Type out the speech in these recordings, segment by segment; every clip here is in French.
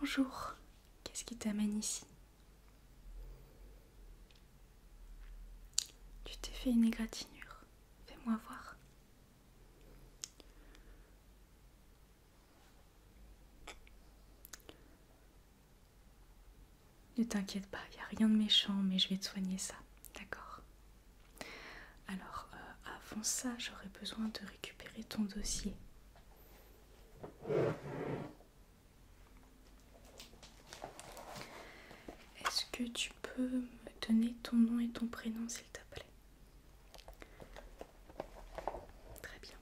Bonjour, qu'est-ce qui t'amène ici Tu t'es fait une égratignure, fais-moi voir. Ne t'inquiète pas, il n'y a rien de méchant, mais je vais te soigner ça, d'accord alors, euh, avant ça, j'aurais besoin de récupérer ton dossier. Est-ce que tu peux me donner ton nom et ton prénom, s'il te plaît Très bien.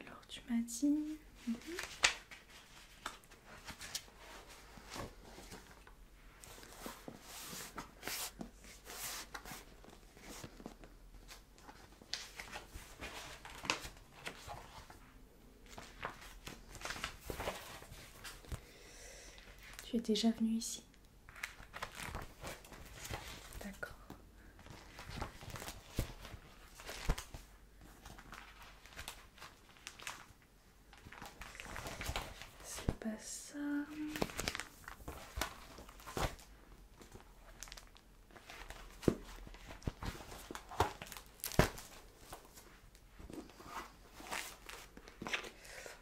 Alors tu m'as dit... Tu es déjà venu ici D'accord. C'est pas ça.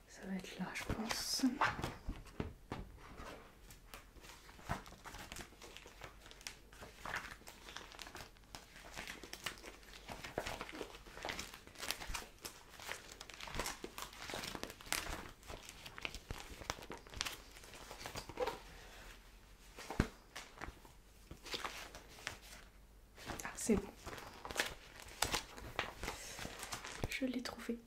Ça va être là, je pense. Ah, c'est bon. Je l'ai trouvé.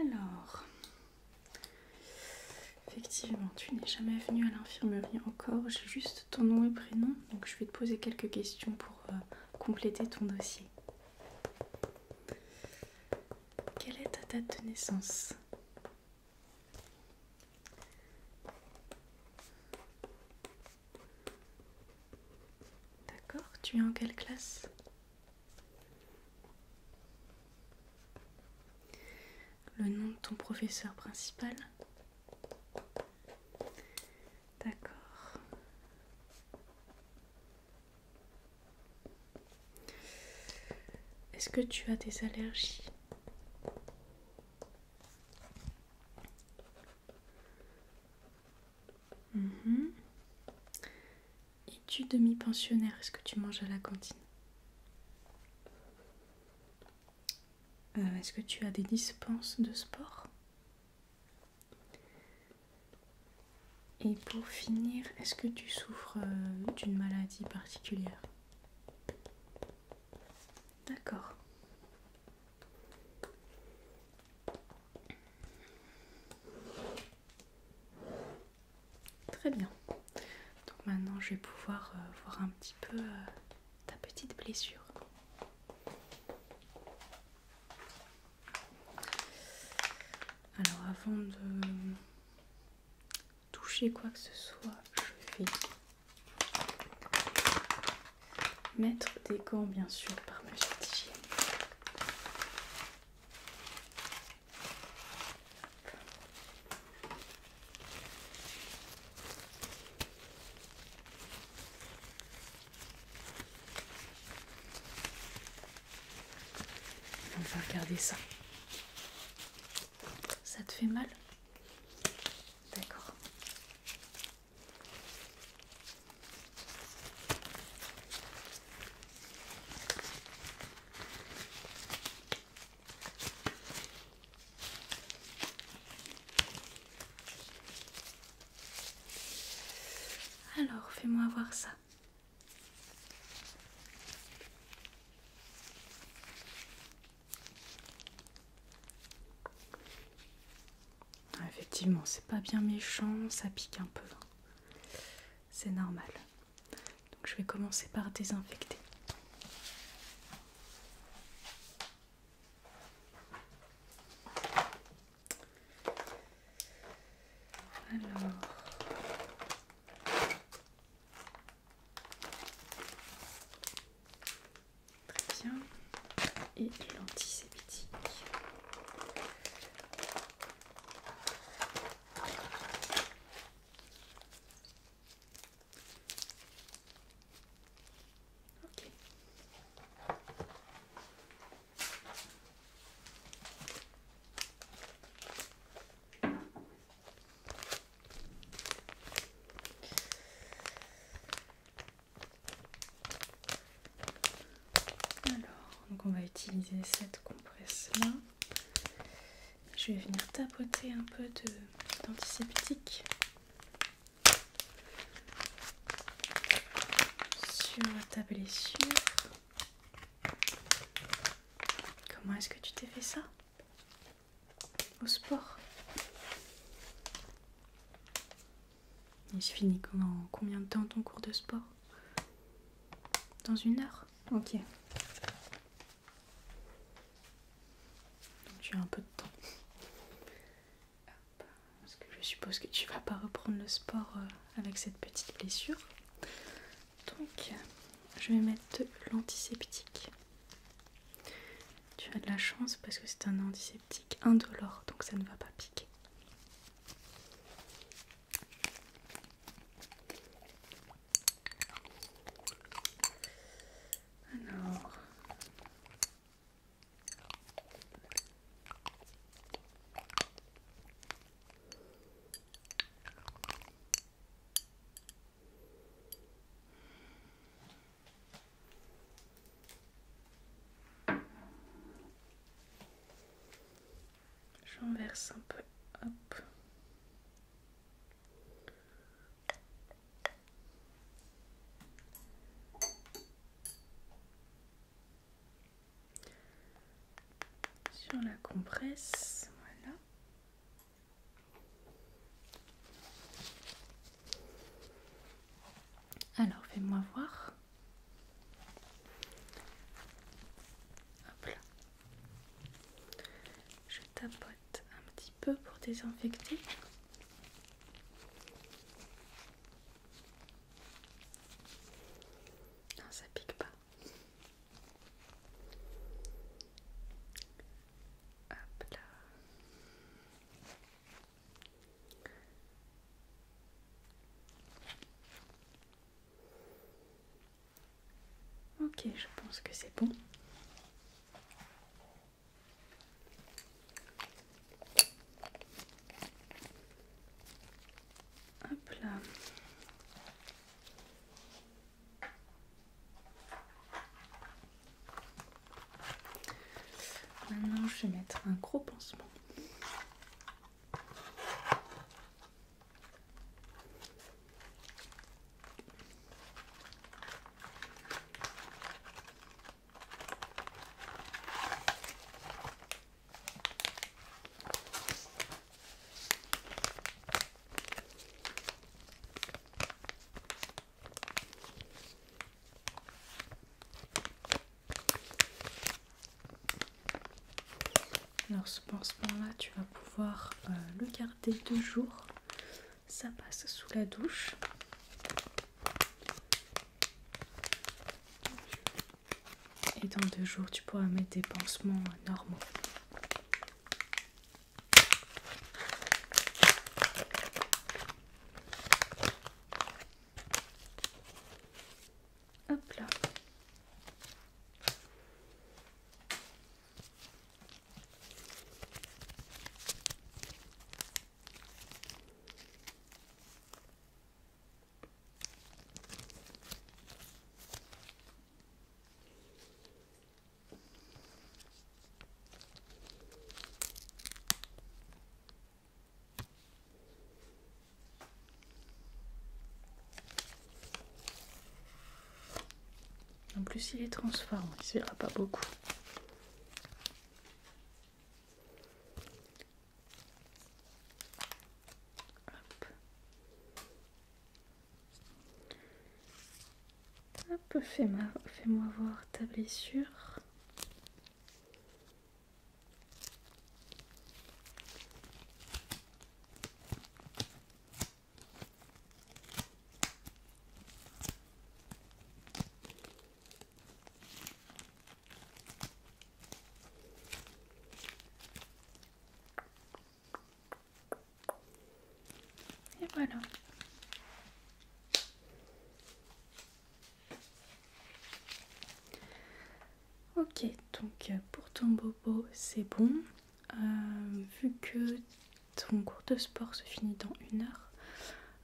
Alors, effectivement, tu n'es jamais venu à l'infirmerie encore. J'ai juste ton nom et prénom, donc je vais te poser quelques questions pour euh, compléter ton dossier. Quelle est ta date de naissance D'accord, tu es en quelle classe Le nom de ton professeur principal D'accord. Est-ce que tu as des allergies Et mhm. Es-tu demi-pensionnaire Est-ce que tu manges à la cantine euh, Est-ce que tu as des dispenses de sport Et pour finir, est-ce que tu souffres euh, d'une maladie particulière. D'accord. Très bien. Donc maintenant je vais pouvoir euh, voir un petit peu euh, ta petite blessure. Alors avant de toucher quoi que ce soit, je vais mettre des gants bien sûr par ma On va regarder ça. Ça te fait mal D'accord. Alors, fais-moi voir ça. Ah, effectivement, c'est pas bien méchant, ça pique un peu. Hein. C'est normal. Donc je vais commencer par désinfecter. Très bien. Et l'antiséptique. Alors, on va utiliser cette compresse là. Je vais venir tapoter un peu d'antiseptique sur ta blessure. Comment est-ce que tu t'es fait ça au sport. Il se finit comment combien de temps ton cours de sport Dans une heure Ok. Donc tu as un peu de temps. Parce que je suppose que tu vas pas reprendre le sport euh, avec cette petite blessure. Donc, je vais mettre l'antiseptique. Tu as de la chance parce que c'est un antiseptique indolore, donc ça ne va pas piquer. Alors. J'en verse un peu. Hop. Sur la compresse, voilà. Alors, fais-moi voir. Hop Je tapote un petit peu pour désinfecter. Non, ça pique pas. Ok, je pense que c'est bon. Hop là. Maintenant, je vais mettre un gros pansement. Alors ce pansement-là, tu vas pouvoir euh, le garder deux jours. Ça passe sous la douche. Et dans deux jours, tu pourras mettre des pansements euh, normaux. Hop là. En plus, il est transparent, il ne pas beaucoup. Un peu fait ma fais-moi voir ta blessure. Et voilà. Ok, donc euh, pour ton bobo, c'est bon. Euh, vu que ton cours de sport se finit dans une heure,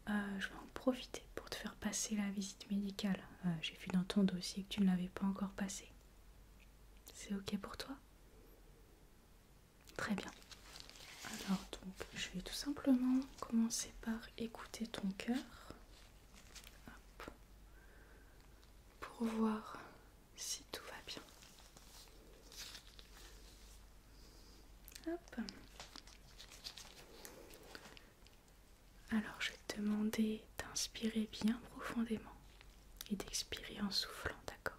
euh, je vais en profiter pour te faire passer la visite médicale. J'ai vu dans ton dossier que tu ne l'avais pas encore passée. C'est ok pour toi Très bien. Alors donc je vais tout simplement commencer par écouter ton cœur pour voir si tout va bien. Alors je vais te demander d'inspirer bien profondément et d'expirer en soufflant, d'accord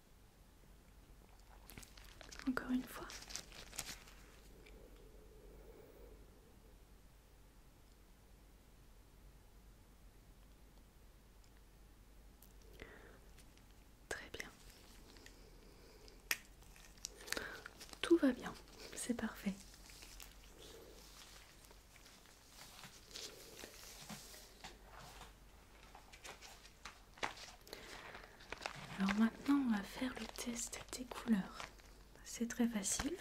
Encore une fois. Très bien. Tout va bien, c'est parfait. Alors maintenant, on va faire le test des couleurs. C'est très facile.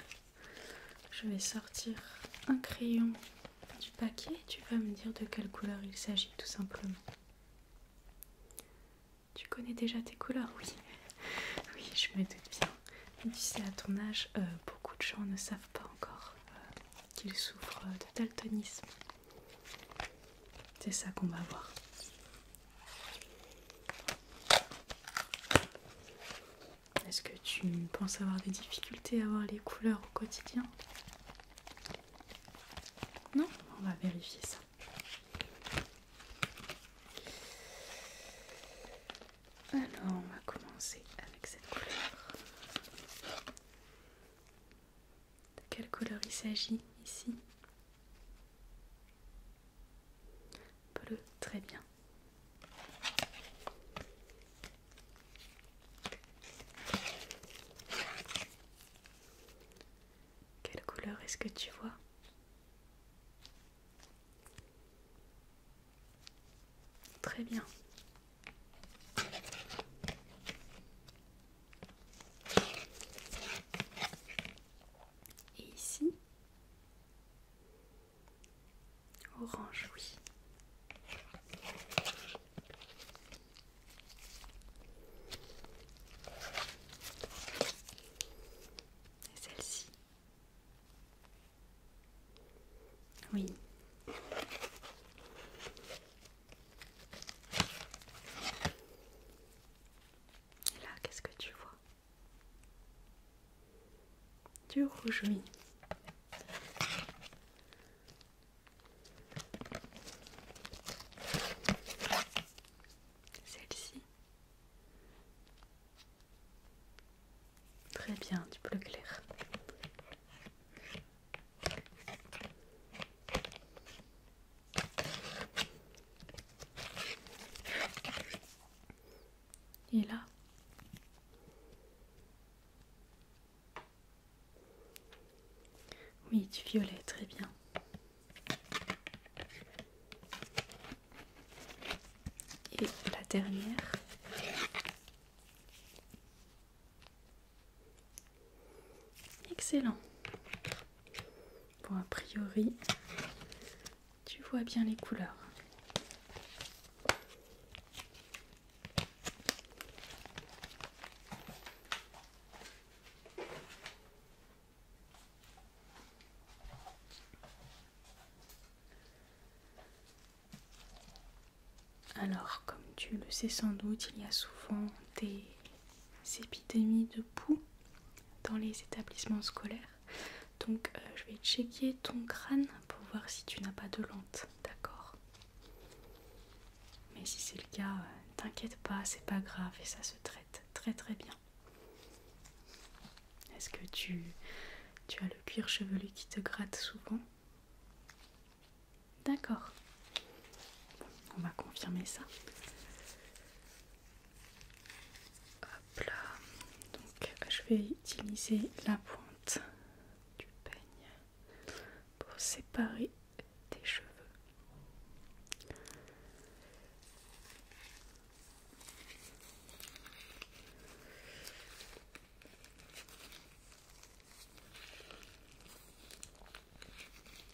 Je vais sortir un crayon du paquet. Tu vas me dire de quelle couleur il s'agit tout simplement. Tu connais déjà tes couleurs, oui. Oui, je me doute bien. tu sais, à ton âge, euh, beaucoup de gens ne savent pas encore euh, qu'ils souffrent de daltonisme. C'est ça qu'on va voir. Est-ce que tu penses avoir des difficultés à voir les couleurs au quotidien Non On va vérifier ça. Alors, on va commencer avec cette couleur. De quelle couleur il s'agit ici Bleu, très bien. Quelle couleur est-ce que tu vois Très bien. Et ici, orange, oui. Et celle-ci. Oui. Et là, qu'est-ce que tu vois Du rouge, rougeoui. Celle-ci. Très bien, du bleu clair. Et là. Oui, du violet, très bien. Et la dernière. Excellent. Bon, a priori, tu vois bien les couleurs. Alors, comme tu le sais sans doute, il y a souvent des épidémies de poux dans les établissements scolaires. Donc euh, je vais checker ton crâne pour voir si tu n'as pas de lente, d'accord Mais si c'est le cas, euh, t'inquiète pas, c'est pas grave et ça se traite très très bien. Est-ce que tu, tu as le cuir chevelu qui te gratte souvent D'accord. On va confirmer ça. Hop là. Donc je vais utiliser la pointe du peigne pour séparer tes cheveux.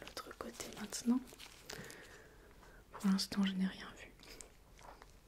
L'autre côté maintenant. Pour l'instant, je n'ai rien vu.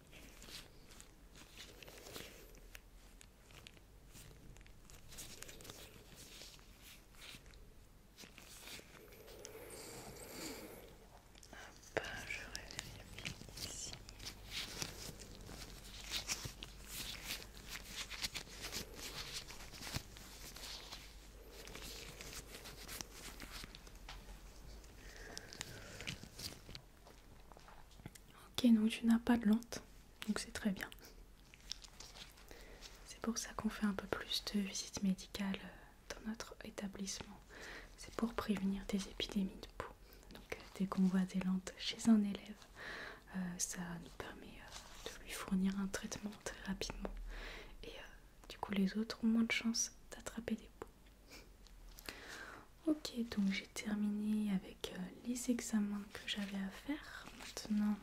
Hop, je bien ici. Ok, donc tu n'as pas de lente, donc c'est très bien. C'est pour ça qu'on fait un peu plus de visites médicales euh, dans notre établissement. C'est pour prévenir des épidémies de peau. Donc euh, dès qu'on voit des lentes chez un élève, euh, ça nous permet de lui fournir un traitement très rapidement. Et du coup les autres ont moins de chance d'attraper des poux. Ok, donc j'ai terminé avec euh, les examens que j'avais à faire. Maintenant,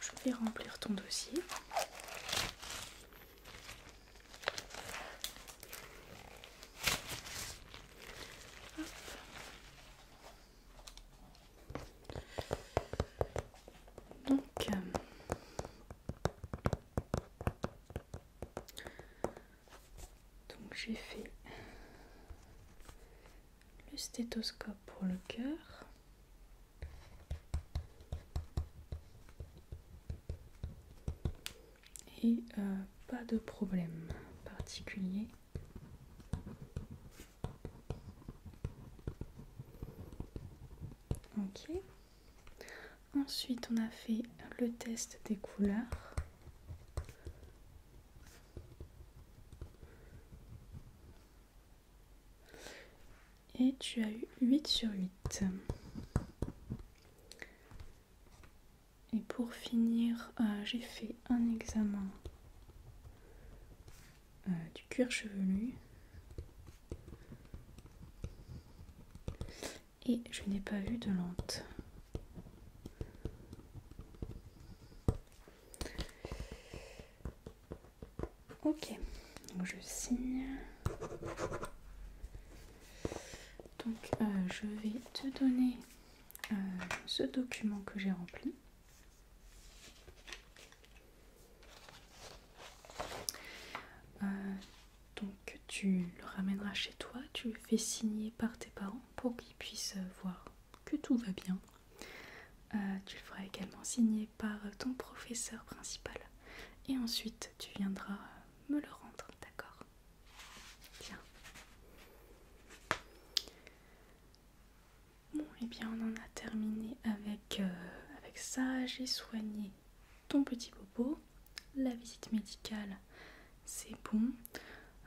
je vais remplir ton dossier. Donc, euh, donc j'ai fait le stéthoscope pour le cœur. Et euh, pas de problème particulier. Ok. Ensuite, on a fait le test des couleurs. Et tu as eu 8 sur 8. Et pour finir, euh, j'ai fait un examen euh, du cuir chevelu et je n'ai pas vu de lente. Ok, donc je signe. Donc euh, je vais te donner euh, ce document que j'ai rempli. Euh, donc tu le ramèneras chez toi, tu le fais signer par tes parents pour qu'ils puissent euh, voir que tout va bien. Euh, tu le feras également signer par euh, ton professeur principal. Et ensuite tu viendras me le rendre, d'accord Tiens. Bon, et eh bien on en a terminé avec, avec ça. J'ai soigné ton petit popo. La visite médicale, c'est bon.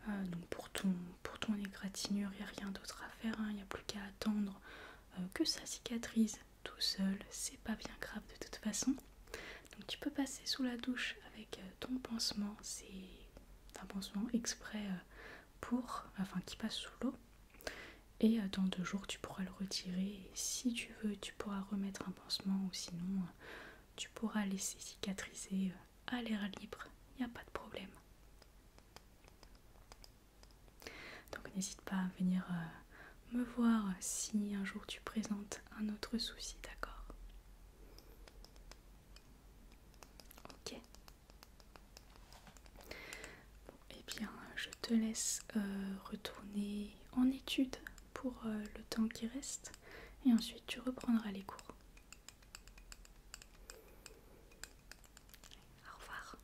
Euh, donc pour ton, pour ton égratignure, il n'y a rien d'autre à faire. Il hein, n'y a plus qu'à attendre euh, que ça cicatrise tout seul. C'est pas bien grave de toute façon. Donc tu peux passer sous la douche avec euh, ton pansement. C'est un pansement exprès pour, enfin qui passe sous l'eau. Et dans deux jours, tu pourras le retirer. si tu veux, tu pourras remettre un pansement ou sinon, tu pourras laisser cicatriser euh, à l'air libre, il n'y a pas de problème. Donc n'hésite pas à venir euh, me voir si un jour tu présentes un autre souci, d'accord Ok. eh bien, je te laisse euh, retourner en étude pour le temps qui reste et ensuite tu reprendras les cours. Au revoir.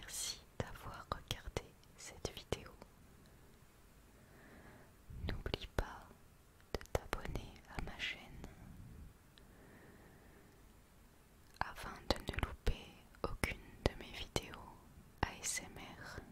Merci d'avoir regardé cette vidéo. N'oublie pas de t'abonner à ma chaîne afin de ne louper aucune de mes vidéos ASMR.